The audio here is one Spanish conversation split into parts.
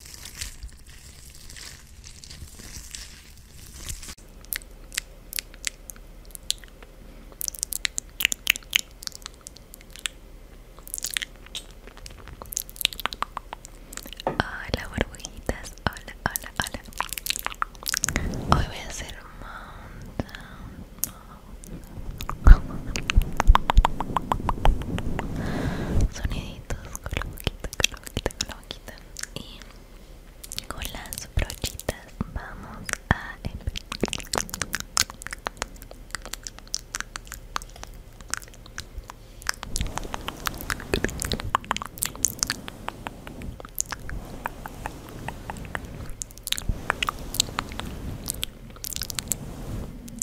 Hola burbujitas, hola, hola, hola. Hoy voy a hacer mountain, con la boquita, con la boquita, con la boquita y con las brochitas vamos a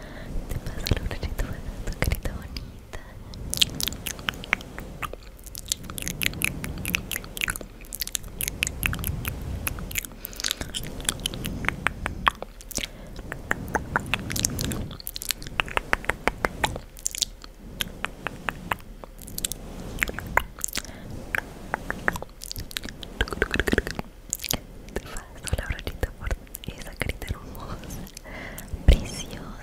Te paso la florita a tu carita bonita. te paso la brochita por esa carita hermosa, preciosa.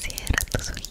Cierra tus ojitos.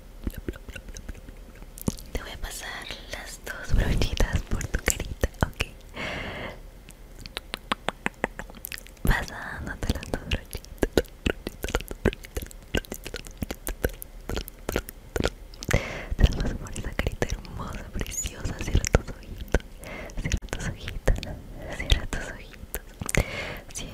Te voy a pasar las dos brochitas por tu carita, ok. Pasándote las dos brochitas. Te las a por esa carita hermosa, preciosa. Cierra tus ojitos. Cierra tus ojitos. Cierra tus ojitos. Cierra.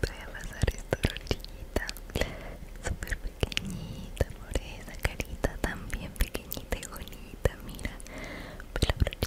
Voy a pasar esta súper pequeñita por esa carita también pequeñita y bonita, mira, la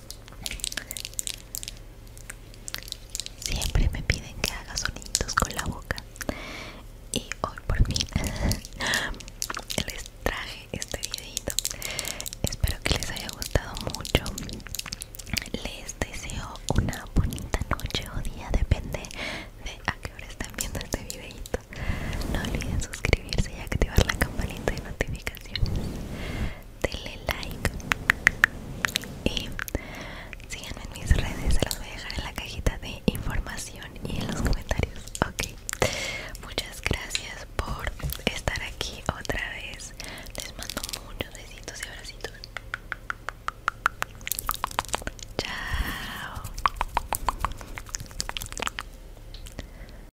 Siempre me piden que haga sonidos con la boca y hoy por fin les traje este videito. Espero que les haya gustado mucho. Les deseo una bonita noche o día, depende de a qué hora están viendo este videito. No olviden suscribirse y activar la campanita de notificaciones denle like y síganme en mis redes, se los voy a dejar en la cajita de información y en los comentarios. Ok, muchas gracias por estar aquí otra vez. Les mando muchos besitos y abracitos. Chao.